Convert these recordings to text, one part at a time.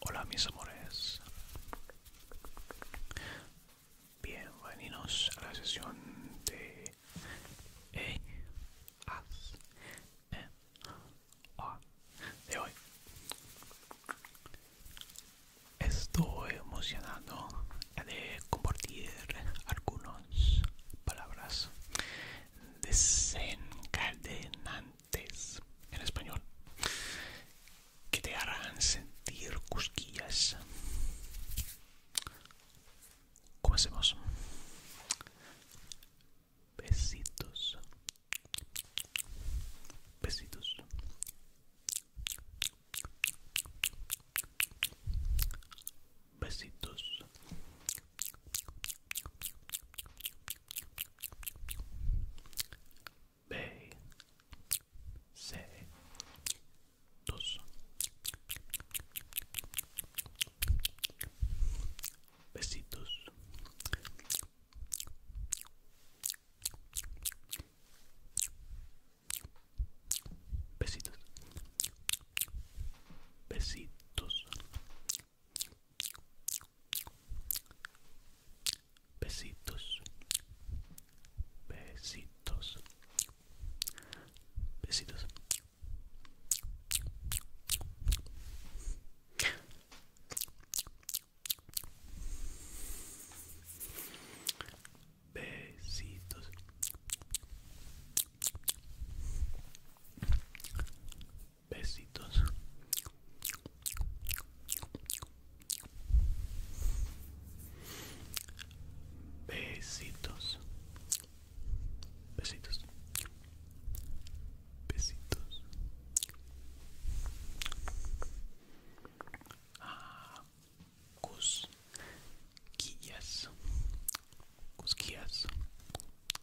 Hola mis amores, bienvenidos a la sesión de e hoy. Estoy emocionado de compartir algunas palabras desencadenantes en español que te harán sentir cosquillas. hacemos Besitos. Besitos. Besitos. B C dos besitos besitos besitos Besitos. Besitos. Besitos. Besitos. Besitos. Besitos. Besitos. Besitos. Ah, cosquillas. Cosquillas.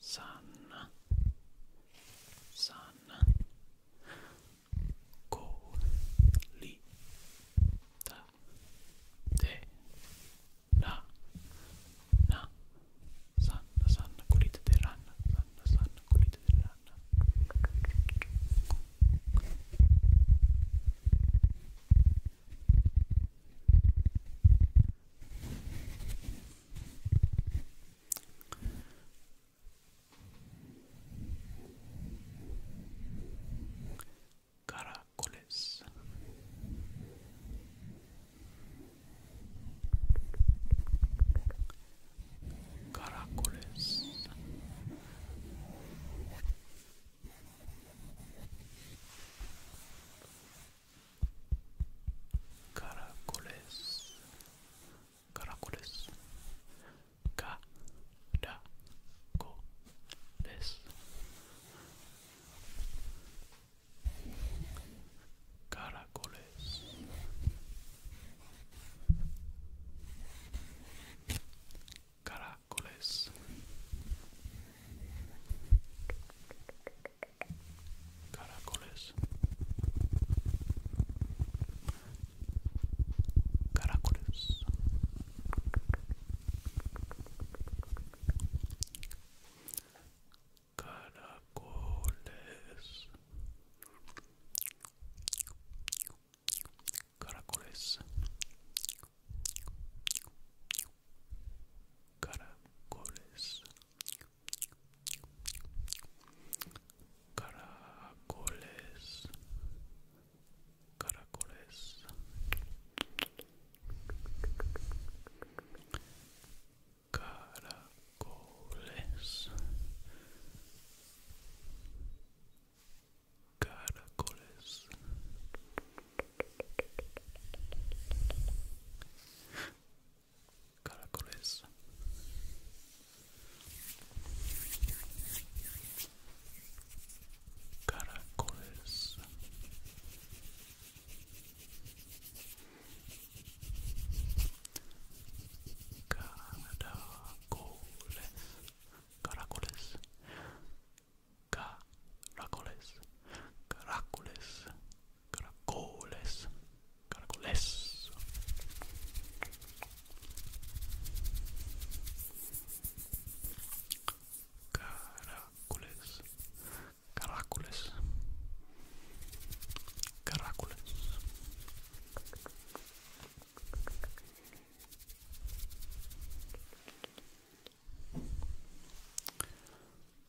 Sun, sun, go, li, ta, te, na, na, sun, ranna, sun, sun, kulita te ranna. Caracoles. Caracoles. Caracoles. Caracoles. Caracoles. Caracoles. Caracoles. Caracoles. Caracoles. Caracoles. Caracoles. Caracoles. Caracoles caracoles caracoles caracoles caracoles caracoles. Caracoles. Caracoles. Caracoles. Caracoles. Caracoles. caracoles, caracoles. Caracoles, caracoles, caracoles.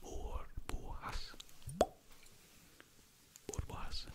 por borraça, por borraça. Por borraça,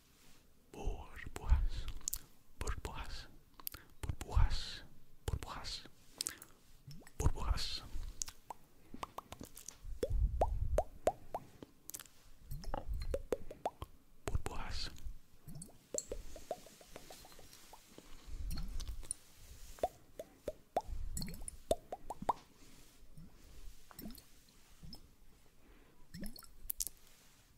burbujas, burbujas, burbujas, burbujas, burbujas. Burbujas.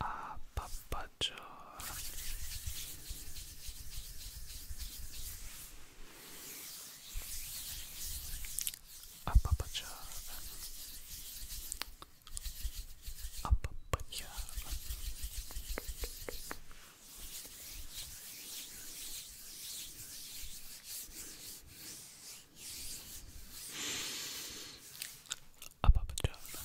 a Papajor. A Papajor. A Papajor. A Papajor.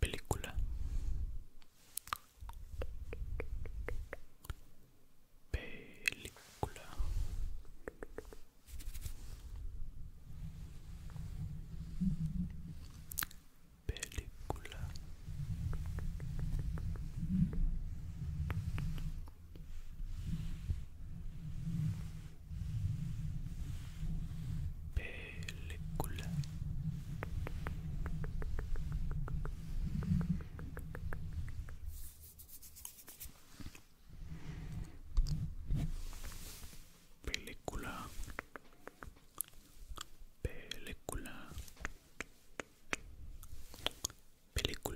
Película. Película. Película película película película película película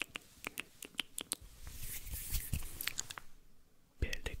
película película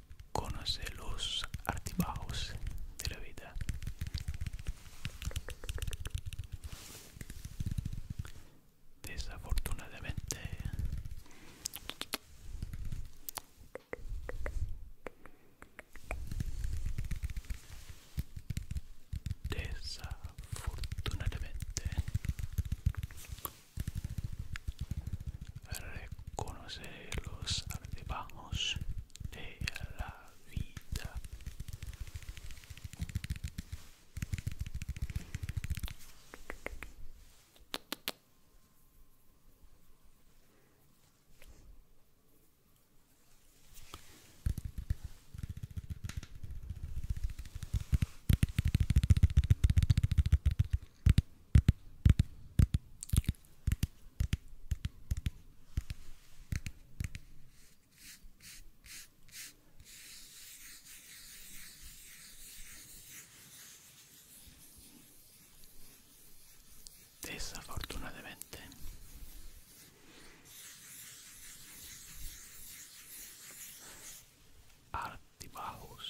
conoce los altibajos de la vida. Desafortunadamente, desafortunadamente reconocer los altibajos de la vida. Desafortunadamente. artibus.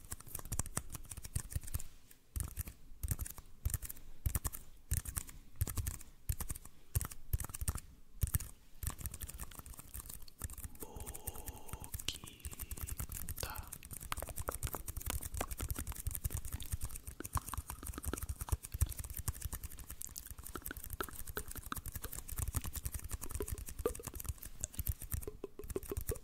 ボキタボキ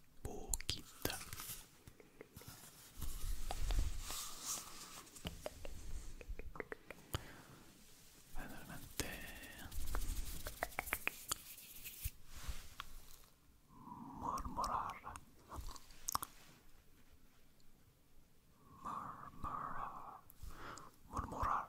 poquita, realmente Murmurar. Murmurar. Murmurar.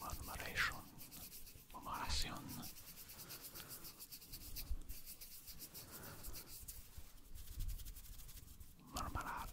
murmuration, murmuración. Murmurar. Murmurar.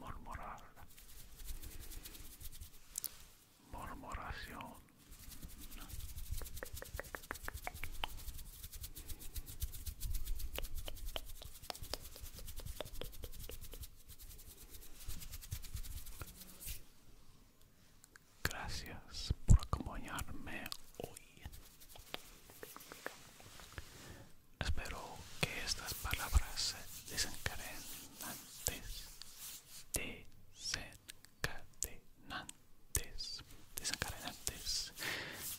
murmurar, murmuración, Gracias por acompañarme hoy. Espero que estas palabras desencadenantes, desencadenantes, desencadenantes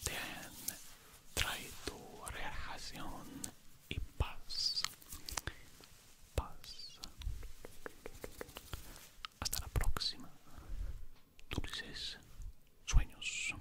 te han traído relajación y paz. Paz. Hasta la próxima. Dulces sueños.